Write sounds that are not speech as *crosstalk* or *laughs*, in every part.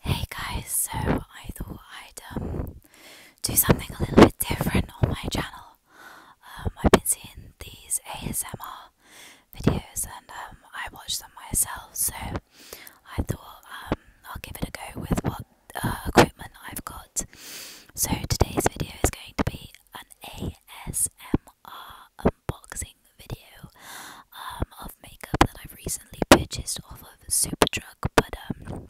Hey guys, so I thought I'd um, do something a little bit different on my channel. Um, I've been seeing these ASMR videos and um, I watch them myself, so I thought I'll give it a go with what uh, equipment I've got. So today's video is going to be an ASMR unboxing video um, of makeup that I've recently purchased off of Superdrug, but um,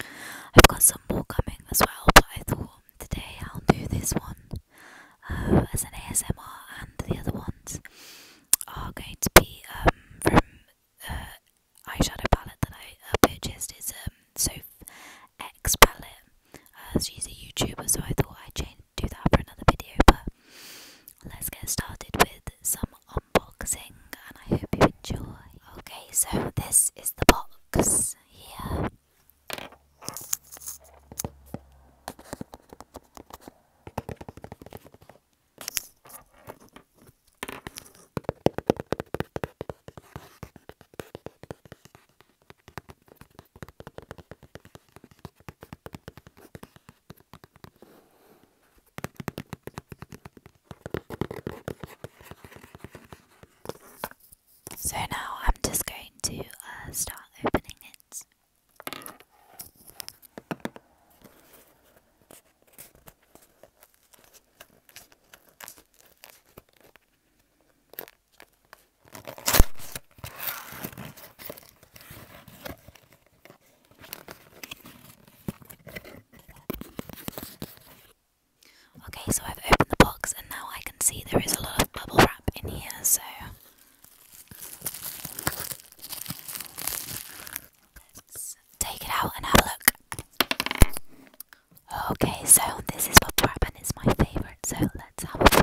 I've got some more coming as well. But I thought today I'll do this one uh, as an ASMR, and the other ones are going to be um, from uh, eyeshadow palette that I uh, purchased is um Soph X palette. Uh, she's a YouTuber, so I thought I'd change, do that for another video. But let's get started with some unboxing, and I hope you enjoy. Okay, so this is the box here. So now I'm just going to uh, start opening it. Okay, so I've opened the box and now I can see there is a lot of bubble wrap in here, so Let's take it out and have a look. Okay, so this is pop what and It's my favorite, so let's have a play.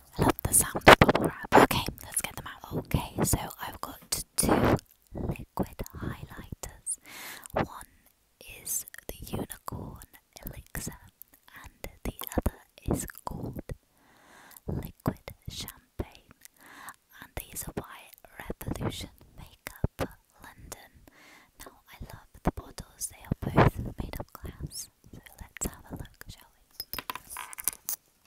I love the sound of bubble wrap. Okay, let's get them out. Okay, so I've got two liquid highlighters. One is the Unicorn Elixir, and the other is called Liquid Champagne. And these are by Revolution Makeup London. Now, I love the bottles, they are both made of glass. So let's have a look, shall we?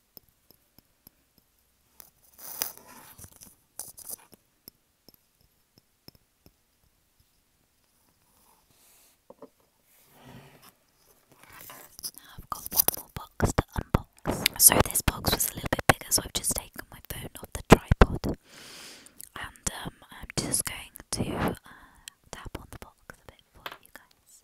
I've got one more box to unbox. So this box was a little bit bigger, so I've just taken my phone off the tripod, and um, I'm just going to uh, tap on the box a bit for you guys.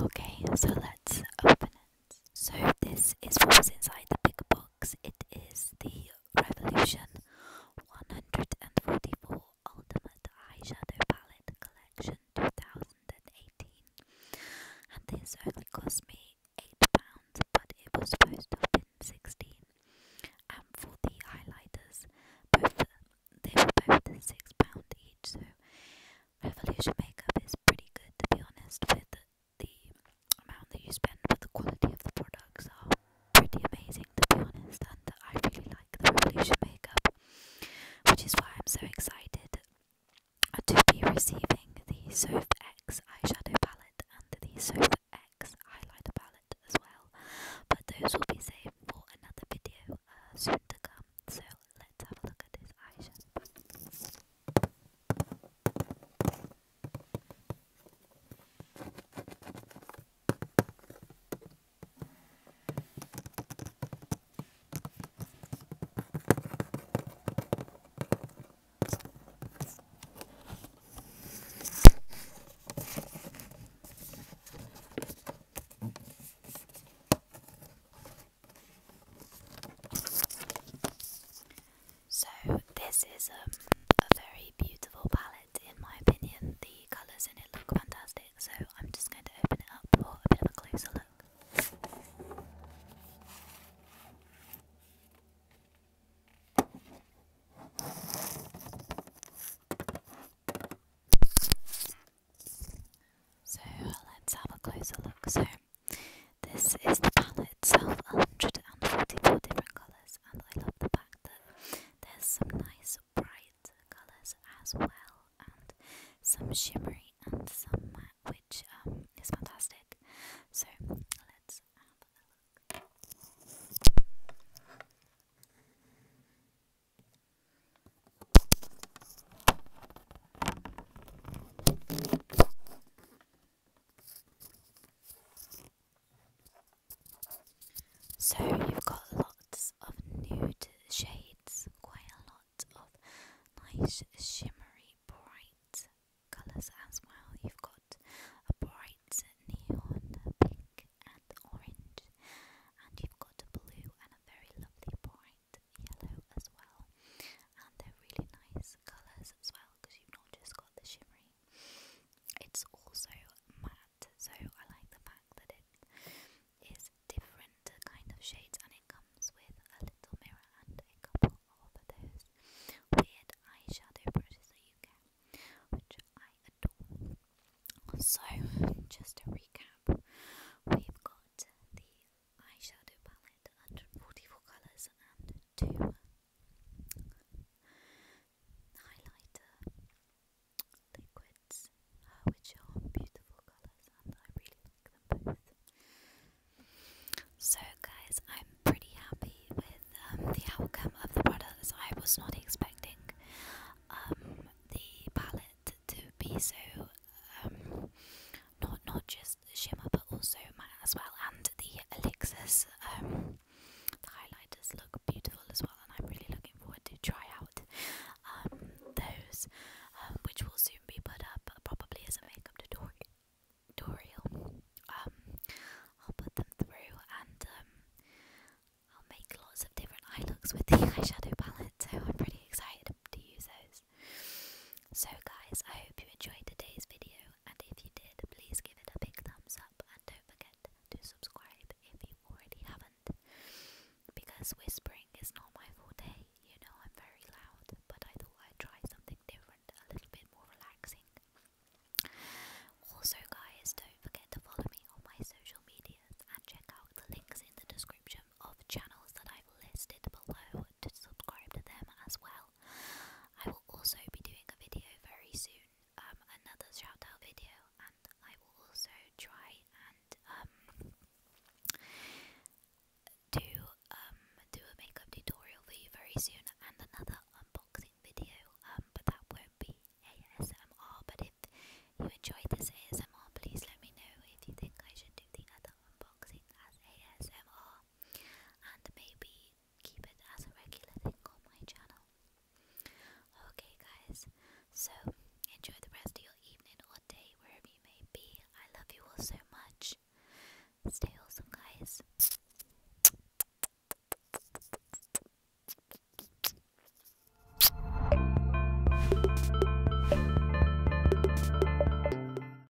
Okay, so let's open it. So, this is what was inside the bigger box. It is the Revolution 144 Ultimate Eyeshadow Palette Collection Two Thousand and Eight and this only cost me £8, but it was supposed to have been 16 And for the highlighters, both they were both £6 each, so Revolution Makeup is pretty good to be honest with the amount that you spend, but the quality of the products are pretty amazing to be honest, and I really like the Revolution Makeup, which is why I'm so excited to be receiving the Sof X eyeshadow palette and the Sof X highlighter palette as well, but those will be saved for another video uh, soon to come. So let's have a look at this eyeshadow. So, this is um, a very beautiful palette, in my opinion. The colours in it look fantastic so I'm just going to open it up for a bit of a closer look. So let's have a closer look. So this is the palette itself, 144 different colours, and I love the fact that there's some nice bright colors as well, and some shimmery and some matte, which um, is fantastic. So let's so you've got lots of nude shades, quite a lot of nice shimmery bright colours as well. You've got a bright neon pink and orange, and you've got a blue and a very lovely bright yellow as well. And they're really nice colours as well because you've not just got the shimmery, it's also matte so I like the fact that it is different kind of shades and it comes with a little mirror and a couple of those weird eyeshadow brushes that you get, which I adore. So, just to recap, we've got the eyeshadow palette, 144 colours, and two highlighter liquids, uh, which are beautiful colours and I really like them both. So, guys, I'm pretty happy with um, the outcome of the products. I was not expecting um, the palette to be so um, not not just shimmer, but also matte as well, and the elixirs the highlighters look beautiful as well, and I'm really looking forward to try out um, those, um, which will soon be put up uh, probably as a makeup tutorial. Um, I'll put them through and I'll make lots of different eye looks with the *laughs* eyeshadow palette, so I'm pretty excited to use those. So, guys, I hope you enjoyed today's video, and if you did, please give it a big thumbs up up and don't forget to subscribe if you already haven't. Because whispering is not my forte, you know I'm very loud, but I thought I'd try something different, a little bit more relaxing. Also, guys, don't forget to follow me on my social medias and check out the links in the description of channels that I've listed below to subscribe to them as well. I will also be doing a video very soon, um, another shout out video, and I will also try and um, do um do a makeup tutorial for you very soon, and another unboxing video. Um, but that won't be ASMR. But if you enjoyed this ASMR, please let me know if you think I should do the other unboxing as ASMR, and maybe keep it as a regular thing on my channel. Okay guys, so enjoy the rest of your evening or day wherever you may be. I love you all so much. Stay awesome guys.